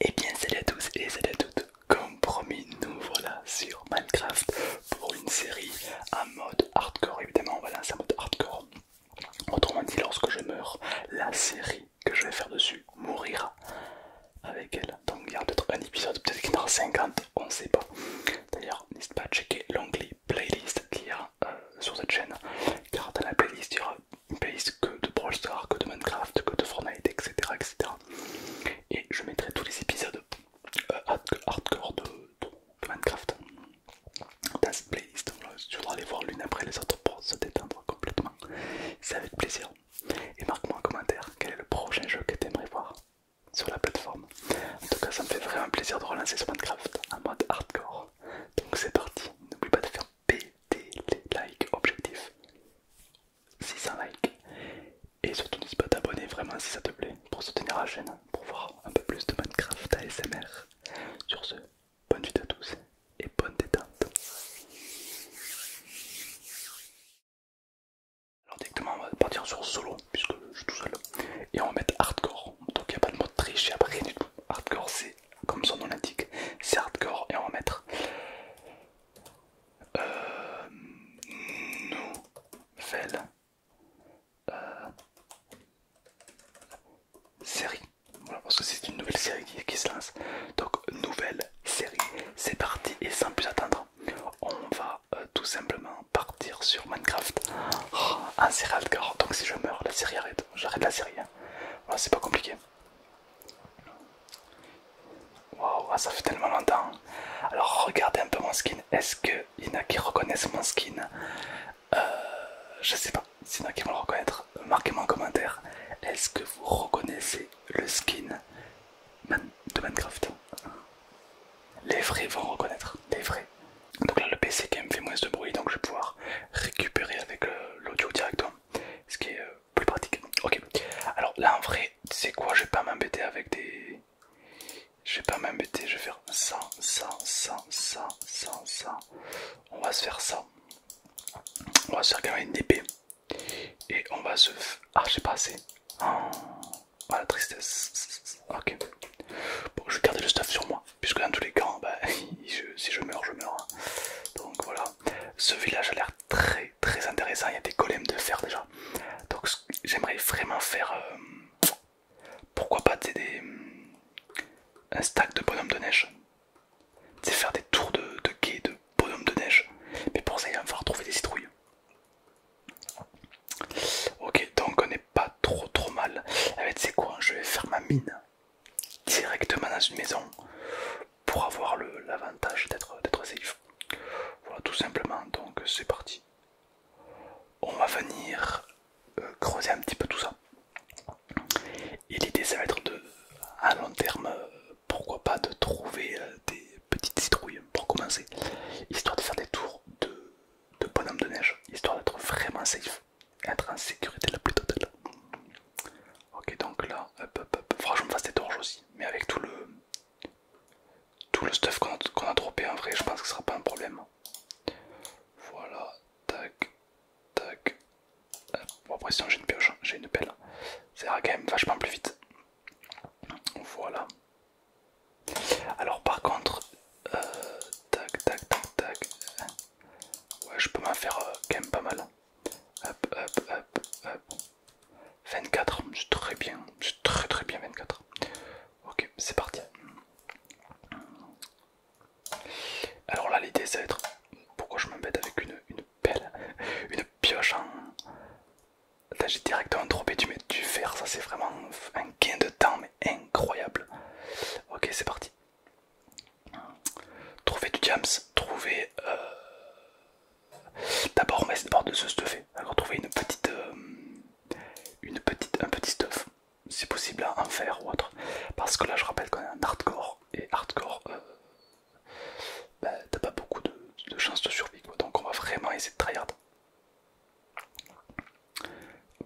Et eh bien salut à tous et salut à toutes Comme promis nous voilà sur Minecraft pour une série en mode hardcore évidemment voilà va en mode hardcore Autrement dit lorsque je meurs la série que je vais faire dessus mourira avec elle Donc il y aura peut-être un épisode peut-être qu'il y en aura 50 on ne sait pas D'ailleurs n'hésite pas à checker l'onglet playlist qu'il y euh, sur cette chaîne car dans la playlist il y aura base que de Brawl Stars, que de Minecraft, que de Fortnite, etc. etc. Et je mettrai tous les épisodes euh, hardcore de, Minecraft dans cette playlist. je tu voudras les voir l'une après les autres pour se détendre complètement. C'est avec plaisir. Et marque-moi en commentaire quel est le prochain jeu que tu aimerais voir sur la plateforme. En tout cas, ça me fait vraiment plaisir de relancer ce Minecraft en mode hardcore. Donc c'est parti, n'oublie pas de faire Pd les likes, objectif 600 likes. Et surtout, n'hésite pas à t'abonner vraiment si ça te plaît pour soutenir la chaîne, pour voir un peu plus de Minecraft ASMR. Sur ce, bonne nuit à tous et bonne détente. Alors, directement, on va partir sur solo puisque je suis tout seul et on va mettre hardcore. Donc, il n'y a pas de mot triche, il n'y a pas rien du tout. Hardcore, c'est comme son nom l'indique, c'est hardcore et on va mettre nouvelle euh, série. parce que c'est une nouvelle série qui, se lance. Donc, nouvelle série. C'est parti et sans plus attendre, on va euh, tout simplement partir sur Minecraft en oh, série serial Donc, si je meurs, la série arrête. J'arrête la série. Hein. Voilà, c'est pas compliqué. Waouh, ah, ça fait tellement longtemps. Alors regardez un peu mon skin. Est-ce qu'il y en a qui reconnaissent mon skin euh, Je sais pas. S'il y en a qui vont le reconnaître, marquez-moi en commentaire. Est-ce que vous reconnaissez le skin de Minecraft Les vrais vont reconnaître. Les vrais. Donc là, le PC qui me fait moins de bruit, donc je vais pouvoir récupérer avec euh, l'audio directement. Ce qui est euh, plus pratique. Ok, alors là en vrai, c'est quoi Je vais pas m'embêter avec des. Je vais pas m'embêter, je vais faire ça, ça, ça, ça, ça, On va se faire ça. On va se faire quand même une épée. Et on va se. Ah, j'ai pas assez. Ah, ah, la tristesse. Ok. Bon, je vais le stuff sur moi. Puisque dans tous les cas, bah, si je meurs, je meurs. Hein. Donc voilà. Ce village a l'air très très intéressant. Il y a des golems de fer déjà. Donc j'aimerais vraiment faire. Euh, pourquoi pas des, un stack de bonhommes de neige C'est faire des tours de, de quai de bonhommes de neige. Mais pour ça, il va falloir trouver des citrouilles. Ok, donc on est pas trop trop mal. Eh ben, quoi Je vais faire ma mine directement dans une maison pour avoir l'avantage d'être safe. Voilà tout simplement, donc c'est parti. On va venir euh, creuser un petit peu tout ça. Et l'idée ça va être de, à long terme, euh, pourquoi pas de trouver euh, des petites citrouilles pour commencer, histoire de faire des tours de, de bonhomme de neige, histoire d'être vraiment safe être en sécurité la plus totale. Ok, donc là, hop, hop, hop. franchement, fasse des torches aussi, mais avec tout le tout le stuff qu'on a, en vrai, je pense que ce sera pas un problème. Voilà, tac, tac. Bon, après, sinon j'ai une pioche, hein. j'ai une pelle, ça ira quand même vachement plus vite. Voilà. Alors, par contre, euh, tac, tac, tac, tac. Ouais, je peux m'en faire euh, quand même pas mal. Hop, hop, hop, hop. 24, j'ai très bien, j'ai très très bien 24. Ok, c'est parti. Alors là, l'idée, ça va être... Pourquoi je m'embête avec une, belle, Une pioche en... Là, j'ai directement Tu du, du fer, ça c'est vraiment un gain de temps, mais incroyable. Ok, c'est parti. Trouver du jams, trouver... Euh, d'abord on va essayer de se stuffer. Alors trouver une petite... Euh, une petite... Un petit stuff. Si possible en faire ou autre. Parce que là je rappelle qu'on est en hardcore. Et hardcore... Euh, bah, t'as pas beaucoup de, chances de survie quoi. Donc on va vraiment essayer de tryhard.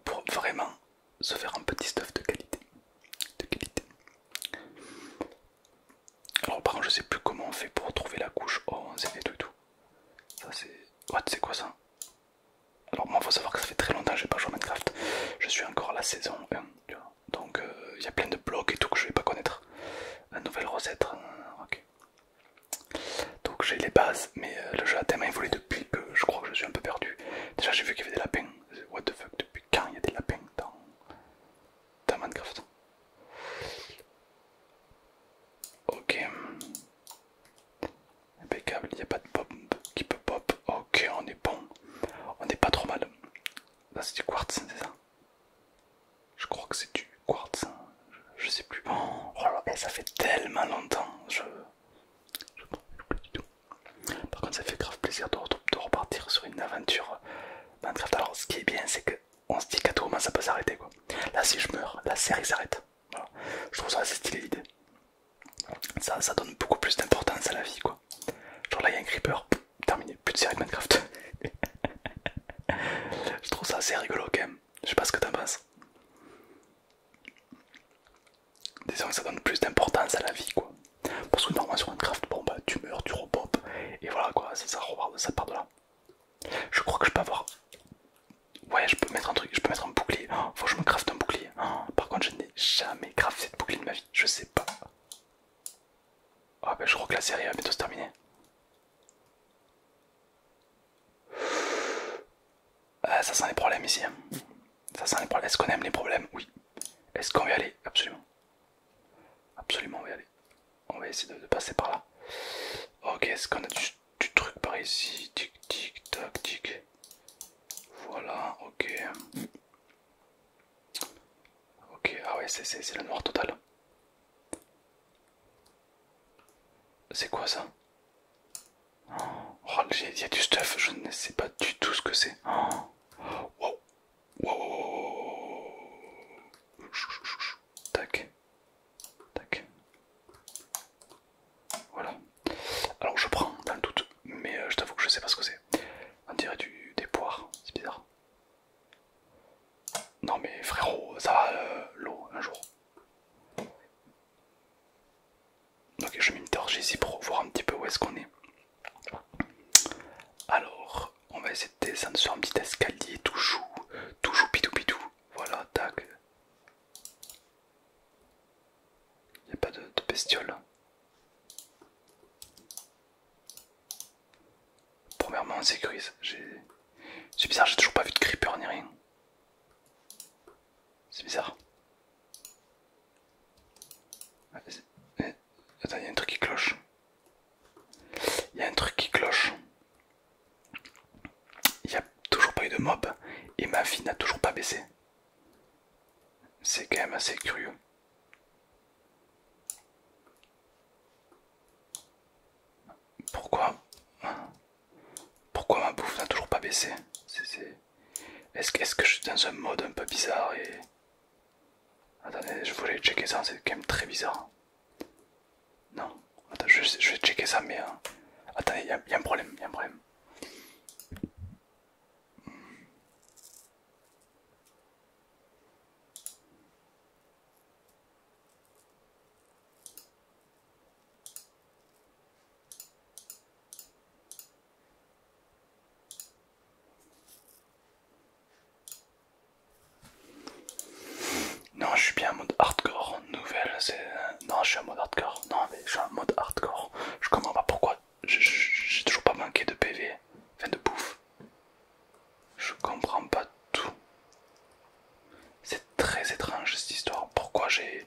Pour vraiment se faire un petit stuff de qualité. De qualité. Alors par contre je sais plus comment on fait pour trouver la couche O oh, et tout et tout. Ça c'est... What c'est quoi ça Alors moi faut savoir que ça fait très longtemps que j'ai pas joué à Minecraft. Je suis encore à la saison 1, Donc euh, il y a plein de blocs et tout que je vais pas connaître. la nouvelle recette. Hein, Donc j'ai les bases, mais euh, le jeu a tellement évolué depuis que je crois que je suis un peu perdu. Déjà j'ai vu qu'il y avait des lapins. What the fuck depuis quand il y a des lapins dans, Minecraft Ok. Impeccable, il n'y a pas de pop qui peut pop. Ok, on est bon. On n'est pas trop mal. Là c'est du quartz, c'est ça Je crois que c'est du quartz. Hein. Je, sais plus. Oh, eh, ça fait tellement longtemps. Je... Je plus du tout. Par contre, ça fait grave plaisir de, repartir sur une aventure Minecraft. Alors, ce qui est bien, c'est qu'on se dit qu'à tout moment ça peut s'arrêter quoi. Là, si je meurs, la série s'arrête. Je trouve ça assez stylé l'idée. Ça, ça donne beaucoup plus d'importance à la vie quoi. Genre là, il y a un creeper, terminé, plus de série Minecraft. je trouve ça assez rigolo quand même. Je sais pas ce que t'en penses. Disons que ça donne plus d'importance à la vie quoi. Parce que normalement sur Minecraft, bon bah tu meurs, tu repopes, et voilà quoi, ça, de ça part de là. Je crois que je peux avoir. Ouais, je peux mettre un truc, je peux mettre un bouclier. Oh, faut que je me crafte un bouclier. Oh, par contre, je n'ai jamais crafté de bouclier de ma vie, je sais pas. Ah, bah je crois que la série va bientôt se terminer. Ah, ça sent les problèmes ici. Hein. Ça sent les problèmes. Est-ce qu'on aime les problèmes Oui. Est-ce qu'on va y aller Absolument. Absolument, on va y aller. On va essayer de, passer par là. Ok, est-ce qu'on a du, truc par ici Tic, tic, tac, tic. Voilà, ok. Ok, ah ouais, c'est le noir total. C'est quoi ça Oh, il y a du stuff, je ne sais pas du tout ce que c'est. Oh. Wow. Wow. Tac. Tac. Voilà. Alors je prends dans le doute, mais euh, je t'avoue que je sais pas ce que c'est. On dirait du, des poires, c'est bizarre. Non mais frérot, ça va euh, l'eau un jour. Ok, je mets une torche ici pour voir un petit peu où est-ce qu'on est. Alors, on va essayer de descendre sur un petit escalier toujours toujours pitou Voilà, tac. Il a pas de, de bestiole. Premièrement, on sécurise. C'est bizarre, j'ai toujours pas vu de creeper ni rien. C'est bizarre. Ah, eh, attends, il y a un truc qui cloche. Il y a un truc qui cloche. Il n'y a toujours pas eu de mob et ma vie n'a toujours pas baissé. C'est quand même assez curieux. Pourquoi Pourquoi ma bouffe n'a toujours pas baissé est-ce que, que je suis dans un mode un peu bizarre et... Attendez, je voulais checker ça, c'est quand même très bizarre. Non, je, vais checker ça, mais... Hein. Attendez, il y, a un problème, il y a un problème. Non, je suis bien en mode hardcore. Nouvelle, c'est. Non, je suis en mode hardcore. Non, mais je suis en mode hardcore. Je comprends pas pourquoi. J'ai toujours pas manqué de PV. Enfin, de bouffe. Je comprends pas tout. C'est très étrange cette histoire. Pourquoi j'ai.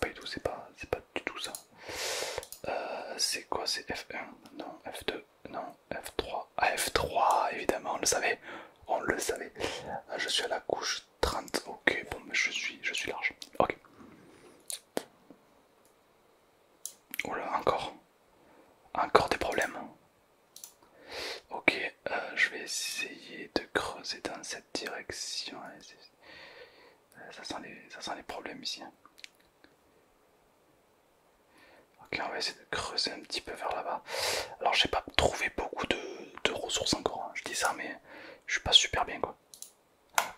pas du tout, c'est pas, du tout ça. Euh, c'est quoi C'est F1 Non, F2 Non, F3 Ah, F3, évidemment, on le savait, on le savait. Euh, je suis à la couche 30, ok, bon, mais je suis, je suis large, ok. Oula, encore, encore des problèmes. Ok, euh, je vais essayer de creuser dans cette direction. ça sent les problèmes ici. Hein. Ok, on va essayer de creuser un petit peu vers là-bas. Alors, j'ai pas trouvé beaucoup de, ressources encore. Hein, je dis ça, mais je suis pas super bien quoi.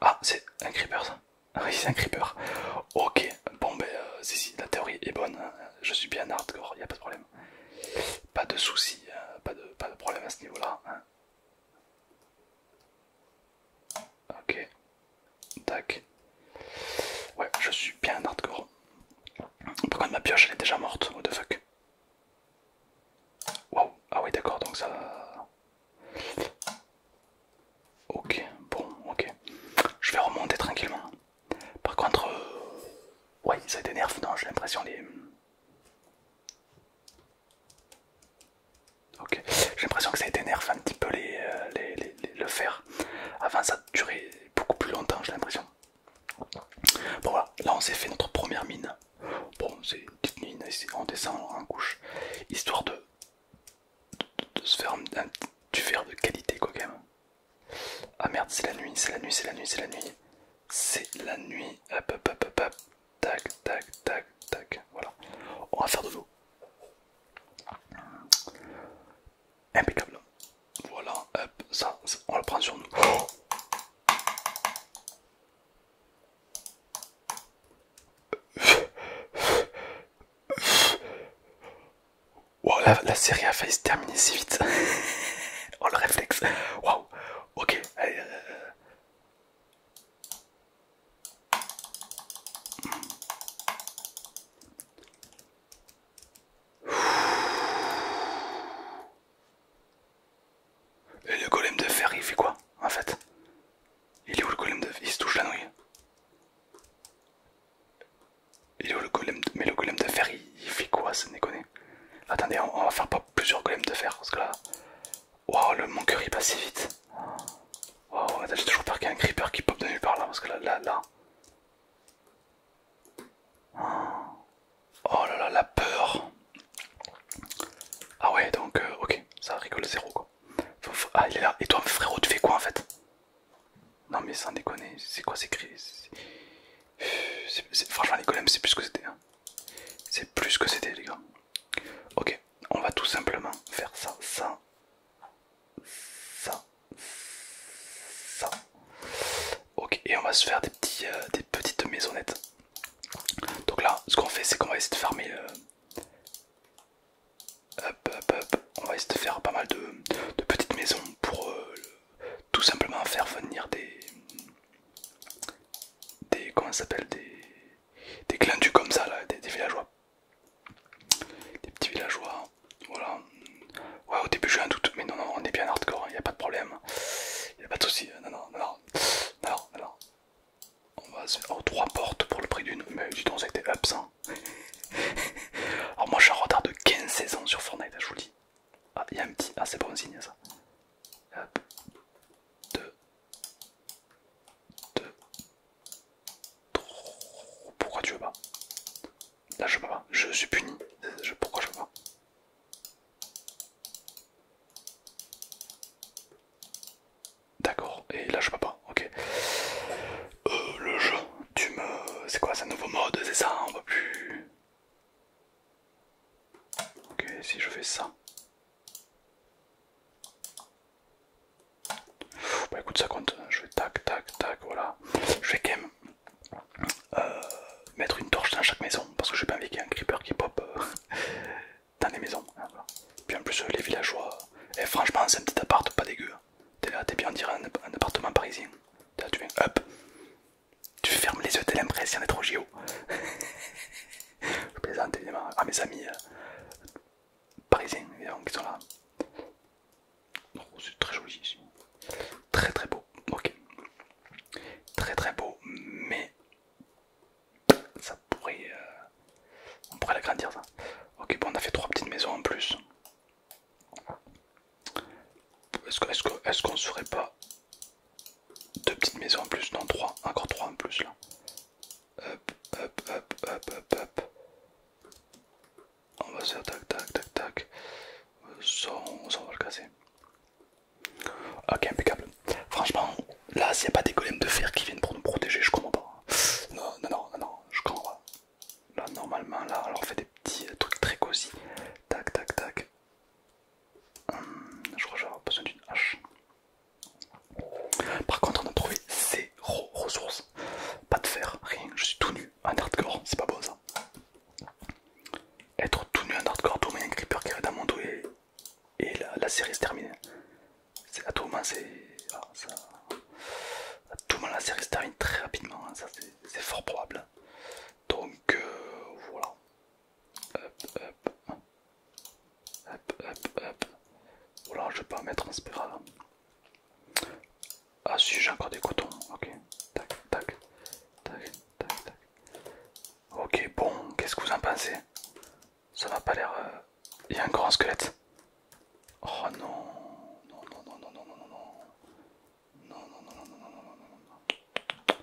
Ah, c'est un creeper ça. Oui, c'est un creeper. Ok, bon, ben, si, euh, si, la théorie est bonne. Hein. Je suis bien hardcore, y a pas de problème. Pas de soucis, hein. pas, de, problème à ce niveau-là. Ok. Tac. Ouais, je suis bien hardcore. Par contre, ma pioche elle est déjà morte. What the fuck. Waouh. Ah oui, d'accord, donc ça. Ok, bon, ok. Je vais remonter tranquillement. Par contre, euh, ouais, ça nerf non J'ai l'impression les. Ok, j'ai l'impression que ça nerf un petit peu les, euh, le fer. Avant ça durait beaucoup plus longtemps, j'ai l'impression. Bon voilà, là on s'est fait notre première mine. Bon, c'est une petite mine, on descend en couche, histoire de, se faire du fer de qualité quoi Ah merde, c'est la nuit, c'est la nuit, c'est la nuit, c'est la nuit. C'est la nuit, Tac, tac, tac, tac. Voilà. On va faire de l'eau. Impeccable. Voilà, hop, ça, on le prend sur nous. la, série a failli se terminer si vite. oh le réflexe. Waouh. Ok. Allez, euh, et le golem de fer, il fait quoi en fait Il est où le golem de fer Il se touche la nouille. Il est où le golem Mais le golem de fer, il, fait quoi, c'est Attendez, on, on va faire pas plusieurs golems de fer parce que là, Waouh, le mon il passe si vite. Waouh, j'ai toujours peur qu'il y ait un creeper qui pop de nulle part là, parce que là, là, là. Oh là là, la peur. Ah ouais, donc, euh, ok, ça rigole zéro quoi. Ah, il est là. Et toi, frérot, tu fais quoi en fait Non, mais sans déconner, c'est quoi ces crises Franchement, les golems, c'est plus que c'était. Hein. C'est plus que c'était, les gars. Ok, on va tout simplement faire ça, ça, ça, ça. Ok, et on va se faire des, petits, euh, des petites maisonnettes. Donc là, ce qu'on fait, c'est qu'on va essayer de farmer. le... Euh, on va essayer de faire pas mal de, petites maisons pour euh, tout simplement faire venir des. Des, comment ça s'appelle des, des clindus comme ça, là, des, villageois. Des petits villageois, voilà. Ouais, au début j'ai un doute, mais non, non, on est bien hardcore, il hein, a pas de problème. Il a pas de souci. Euh, non, non, non, non, Alors On va se faire trois portes pour le prix d'une. Mais du temps, ça a été absent. Alors, moi, je suis en retard de 15 saisons sur Fortnite, hein, je vous dis. Ah, il y a un petit. Ah, c'est bon signe ça. Hop. 2, 2, 3. Pourquoi tu veux pas Là je peux pas, je suis puni. pourquoi je peux pas D'accord, et là je peux pas, ok. Euh, le jeu, tu me. C'est quoi, c'est nouveau mode, c'est ça, on va plus. Ok, si je fais ça, bah, écoute, ça compte. Je vais tac, tac, tac, voilà. Je vais quand même euh, mettre une torche dans chaque maison parce que j'ai pas envie qu'il y ait un creeper qui pop euh, dans les maisons. Hein, Puis en plus, les villageois. Et eh, franchement, c'est un petit appart pas dégueu. Hein. T'es là, t'es bien, on dirait un, appartement parisien. tu hop, tu fermes les yeux, t'as l'impression d'être au JO. Je plaisante évidemment à mes amis euh, parisiens qui sont là. Oh, c'est très joli ici. Très très beau. Ok. Très très beau, mais ça pourrait... Euh, on pourrait l'agrandir ça. Ok, bon, on a fait trois petites maisons en plus. Est-ce qu'on est ferait ne serait pas deux petites maisons en plus, non trois, encore trois en plus là. Hop, hop, hop, hop, hop, On va faire tac, tac, tac, tac. Ça, on, va le casser. Ok, impeccable. Franchement, là, s'il n'y a pas des golems de fer qui viennent pour nous protéger, je comprends pas. Non, non, non, non, je comprends pas. Là, normalement, là, on fait des petits trucs très cosy. Tac, tac, tac je crois que j'aurai besoin d'une hache. Par contre, on a trouvé zéro ressource. Pas de fer, rien. Je suis tout nu en hardcore, c'est pas beau ça. Être tout nu en hardcore, tout un creeper qui arrive dans mon dos et, la, série se termine. À tout moment, c'est. Ah, tout moment, la série se termine très rapidement, hein. ça c'est fort probable. Donc euh, voilà. Hop, hop. Hop, hop, hop. Oula, je vais pas mettre un spiral. Ah si, j'ai encore des cotons. Ok. Tac, tac. Tac, tac, tac. Ok, bon, qu'est-ce que vous en pensez Ça va pas l'air... Il y a un grand squelette. Oh non. Non, non, non, non, non, non, non, non. Non, non, non, non, non, non, non, non, non.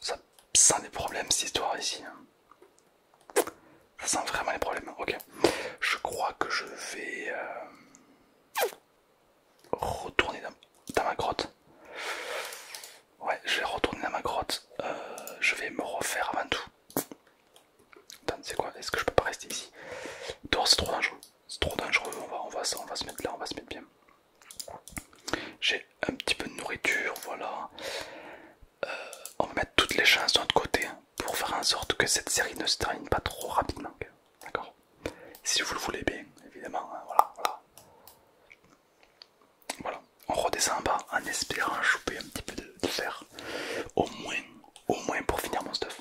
Ça sent des problèmes, cette histoire, ici. Ça sent vraiment les problèmes. Ok. Je crois que je vais euh, retourner dans, ma grotte. Ouais, je vais retourner dans ma grotte. Euh, je vais me refaire avant tout. Attends, c'est quoi Est-ce que je peux pas rester ici Dehors, c'est trop dangereux. C'est trop dangereux. On va, on, va, on va se mettre là, on va se mettre bien. J'ai un petit peu de nourriture, voilà. Euh, on va mettre toutes les chances de côté hein, pour faire en sorte que cette série ne se termine pas trop rapidement. D'accord Si vous le voulez bien, évidemment. Hein, voilà, voilà. Voilà, on redescend en bas en espérant choper un petit peu de, fer. Au moins, au moins pour finir mon stuff.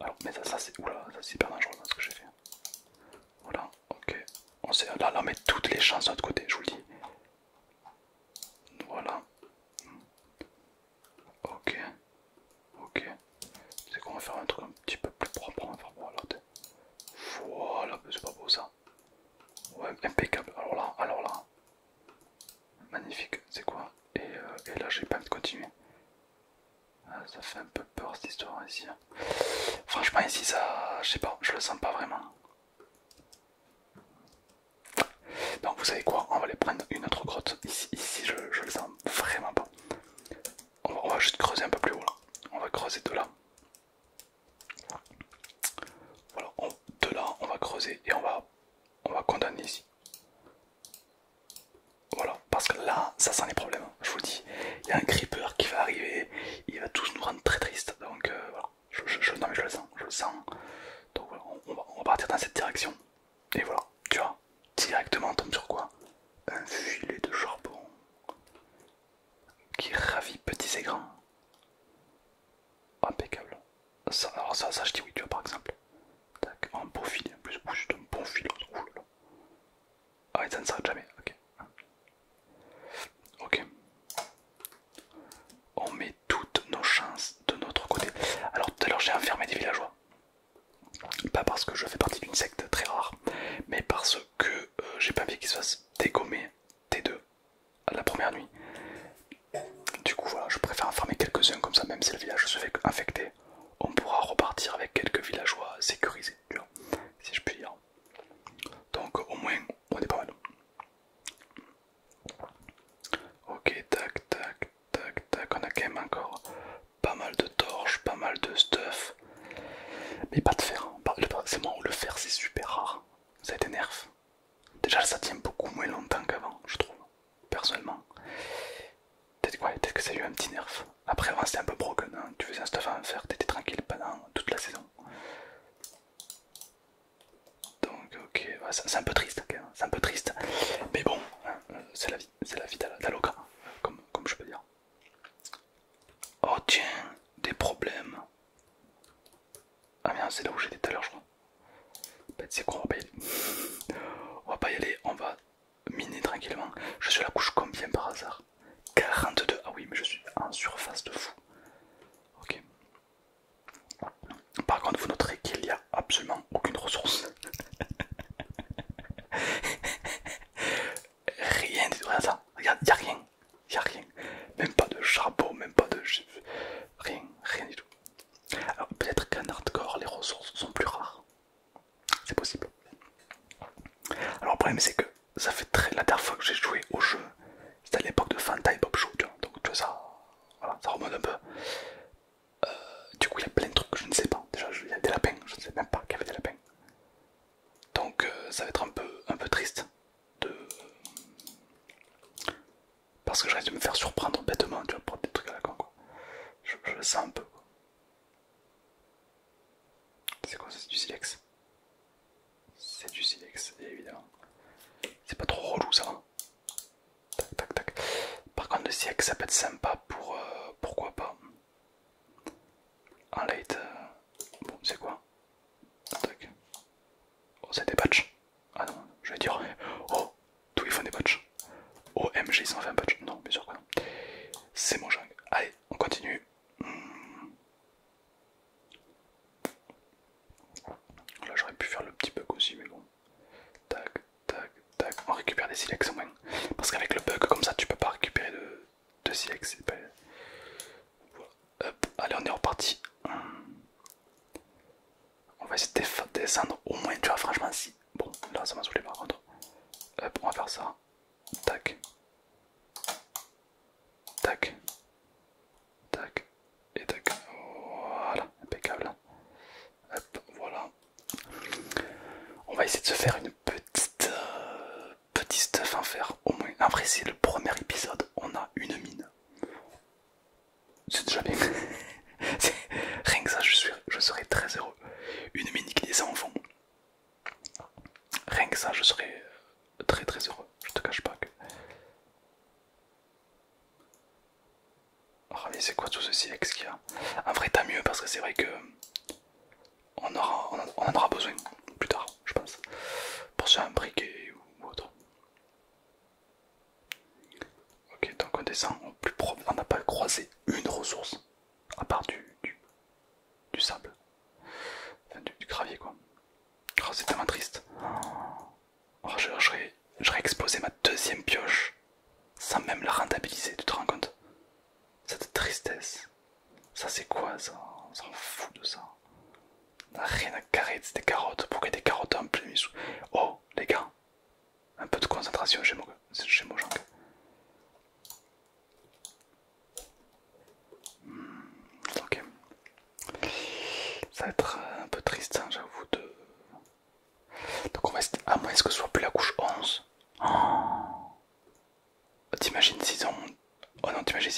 Alors, mais ça, c'est. Oula, ça c'est hyper dangereux hein, ce que j'ai fait. Voilà ok. On sait, là, on met toutes les chances de notre côté, je vous le dis. Voilà. Ok. Ok. C'est qu'on va faire un truc un petit peu plus propre. voilà, voilà c'est pas beau ça. Ouais, impeccable. Alors là, alors là. Magnifique, c'est quoi euh, et, là, j'ai pas envie de continuer. Ah, ça fait un peu peur cette histoire ici. Hein. Franchement, ici, ça, je sais pas, je le sens pas vraiment. Donc, vous savez quoi On va aller prendre une autre grotte. Ici, ici je, le sens vraiment pas. On va, juste creuser un peu plus haut là. On va creuser de là. Voilà, de là, on va creuser et on va, on va condamner ici. Voilà, parce que là, ça sent les problèmes je vous dis, il y a un creeper qui va arriver, il va tous nous rendre très tristes, donc euh, voilà, je, mais je le sens, je le sens, donc voilà, on, va, partir dans cette direction, et voilà, tu vois, directement on tombe sur quoi Un filet de charbon qui ravit petits et grands, impeccable, alors ça, ça je dis oui, tu vois, par exemple, tac, un beau filet, en plus, c'est un bon filet, ah et ça ne s'arrête jamais, ok. Ok. On met toutes nos chances de notre côté. Alors tout à l'heure j'ai enfermé des villageois. Pas parce que je fais partie d'une secte très rare, mais parce que euh, j'ai pas envie qu'ils se fassent dégommer T2 à la première nuit. Du coup voilà, je préfère enfermer quelques-uns comme ça, même si le village se fait infecter, on pourra repartir avec quelques villageois sécurisés, si je puis dire. Donc au moins on est pas mal. Ok, tac, tac, tac, tac. On a quand même encore pas mal de torches, pas mal de stuff. Mais pas de fer. Hein. C'est moi où le fer c'est super rare. Ça a été nerf Déjà ça tient beaucoup moins longtemps qu'avant, je trouve. Personnellement. Peut-être quoi peut que ça a eu un petit nerf. Après, avant c'était un peu broken, hein. tu faisais un stuff à en faire, t'étais tranquille pendant toute la saison. Donc, ok, c'est un peu triste, hein. c'est un peu triste, mais bon, hein, euh, c'est la vie, c'est la d'Aloca, comme, je peux dire. Oh tiens, des problèmes. Ah merde, c'est là où j'étais tout à l'heure, je crois. c'est bah, quoi, on va pas y aller. on va pas y aller, on va miner tranquillement. Je suis à la couche combien par hasard 42, ah oui, mais je suis en surface de fou. Ok. Par contre, vous noterez qu'il n'y a absolument aucune ressource. rien du tout, regarde ça, regarde, il n'y a rien, rien. Même pas de charbon, même pas de... Rien, rien du tout. Alors peut-être qu'en hardcore, les ressources sont plus rares. C'est possible. Alors le problème c'est que ça fait très. La dernière fois que j'ai joué au jeu, c'était à l'époque de et Bob Show, Donc tu vois, ça, voilà, remonte un peu. Euh, du coup, il y a plein de trucs que je ne sais pas. Déjà, il y a des lapins, je ne sais même pas qu'il y avait des lapins. Donc euh, ça va être un peu, un peu triste de. Parce que je risque de me faire surprendre bêtement, tu vois, pour des trucs à la con, quoi. Je, je le sens un peu, quoi. C'est quoi ça C'est du silex C'est du silex, évidemment. C'est pas trop relou ça. Hein. tac, tac, tac. Par contre, le silex ça peut être sympa pour. Euh, pourquoi pas Un light. Euh, bon, c'est quoi Oh, c'est des patchs. Ah non, je vais dire. Oh, tous ils font des patchs. OMG, ils ont fait un patch. Non, bien sûr que non. C'est mon jungle. Allez, on continue. Là j'aurais pu faire le petit bug aussi mais bon. Tac, tac, tac. On récupère des silex au moins. Parce qu'avec le bug comme ça tu peux pas récupérer de, silex. Allez on est reparti. On va essayer de descendre au moins tu vois franchement si. Bon là ça m'a saoulé par contre. Hop on va faire ça. Tac. Tac. Tac. Et tac. Voilà, impeccable. voilà. On va essayer de se faire une petite euh, petite stuff hein, faire Au moins, après le premier épisode, on a une mine. C'est déjà bien. Rien que ça, je, serais très heureux. Une mini qui descend en fond. Rien que ça, je serais très très heureux. Je te cache pas que. Ah, c'est quoi tout ce qu'il y a En vrai, t'as mieux parce que c'est vrai que. On, en aura besoin plus tard, je pense. Pour se un briquet ou autre. Ok, donc on descend au plus On n'a pas croisé une ressource à part du, du, sable, enfin, du, gravier quoi. Oh, c'est tellement triste. Oh, J'aurais exposé ma deuxième pioche sans même la rentabiliser, tu te rends compte Cette tristesse, ça c'est quoi ça On s'en fout de ça. rien à carrer, c'est des carottes. Pourquoi des carottes en plein sous Oh, les gars, un peu de concentration j'ai moi, chez Ok. Ça va être un peu triste, hein, j'avoue. De... Donc on va essayer... à moins ce que ce soit plus la couche 11 T'imagines s'ils ans Oh non, t'imagines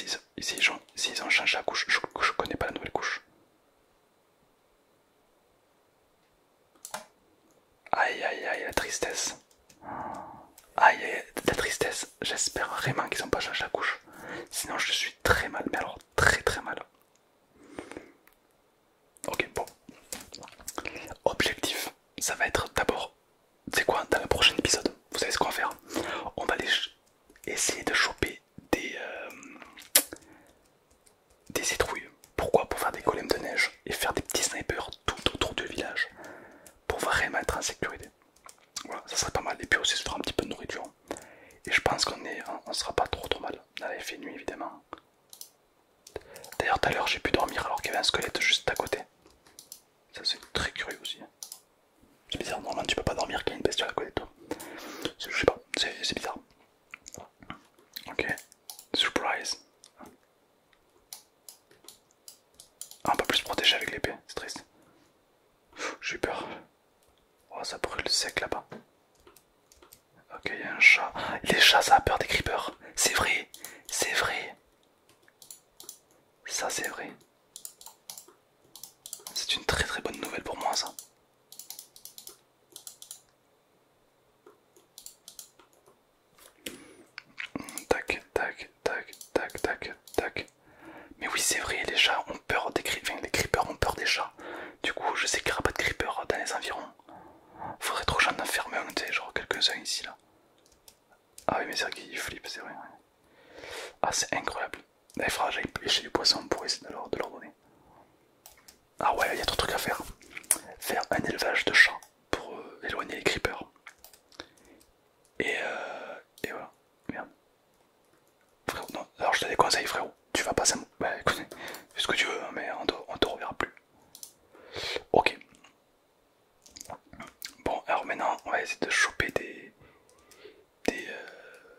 ont... changé la couche je connais pas la nouvelle couche. Aïe aïe aïe, la tristesse. Aïe aïe, la tristesse. J'espère vraiment qu'ils n'ont pas changé la couche. Sinon, je suis très mal, mais alors très très mal. Ok, bon. Objectif, ça va être d'abord, c'est quoi, dans le prochain épisode, vous savez ce qu'on va faire On va aller essayer de choper des, euh, des citrouilles. Pourquoi Pour faire des golems de neige et faire des petits snipers tout autour du village pour vraiment être en sécurité. Voilà, ça serait pas mal. Et puis aussi, se un petit peu de nourriture. Et je pense qu'on est, on sera pas trop trop mal. On il fait nuit évidemment. D'ailleurs, tout à l'heure, j'ai pu dormir alors qu'il y avait un squelette juste à côté. Ça, c'est très curieux aussi. Hein. C'est bizarre, normalement, tu peux pas dormir qu'il y a une bestiole à côté de toi. Je sais pas, c'est bizarre. Ok, surprise. Ah, on peut plus protéger avec l'épée, c'est triste. J'ai peur. Oh, ça brûle sec là-bas. Ok, il y a un chat. Les chats, ça a peur des creepers. C'est vrai, c'est vrai. Ça, c'est vrai. C'est une très très bonne nouvelle pour moi, ça. Tac, tac, tac, tac, tac, tac. Mais oui, c'est vrai, les chats ont peur des enfin, les creepers ont peur des chats. Du coup, je sais qu'il n'y aura pas de creepers dans les environs. Faudrait trop j'en d'enfermer. un, tu sais, genre quelques-uns ici là. Ah oui, mais c'est vrai qu'ils c'est vrai. Ah, c'est incroyable. il faudra j'ai pêcher du poisson pour essayer de leur, de leur donner. Ah ouais, il y a trop de trucs à faire. Faire un élevage de chats pour euh, éloigner les creepers. Et, euh, et voilà, Frérot, non, alors je te déconseille, frérot. Tu vas pas ça. Bah fais ce que tu veux, hein, mais on te, reverra plus. Ok. Bon, alors maintenant, on va essayer de choper des. des. Euh,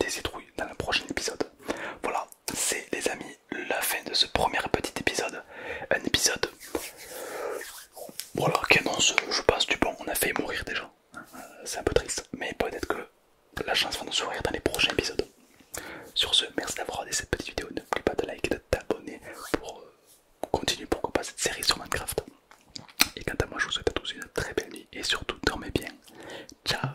des citrouilles dans le prochain épisode. Voilà, c'est les amis, la fin de ce premier petit épisode. Un épisode voilà, qui annonce, je pense, du bon. On a fait mourir gens. C'est un peu triste, mais peut-être que la chance va nous sourire dans les prochains épisodes. Sur ce, merci d'avoir regardé cette petite vidéo. N'oublie pas de liker et de t'abonner pour euh, continuer pourquoi pas cette série sur Minecraft. Et quant à moi, je vous souhaite à tous une très belle nuit et surtout dormez bien. Ciao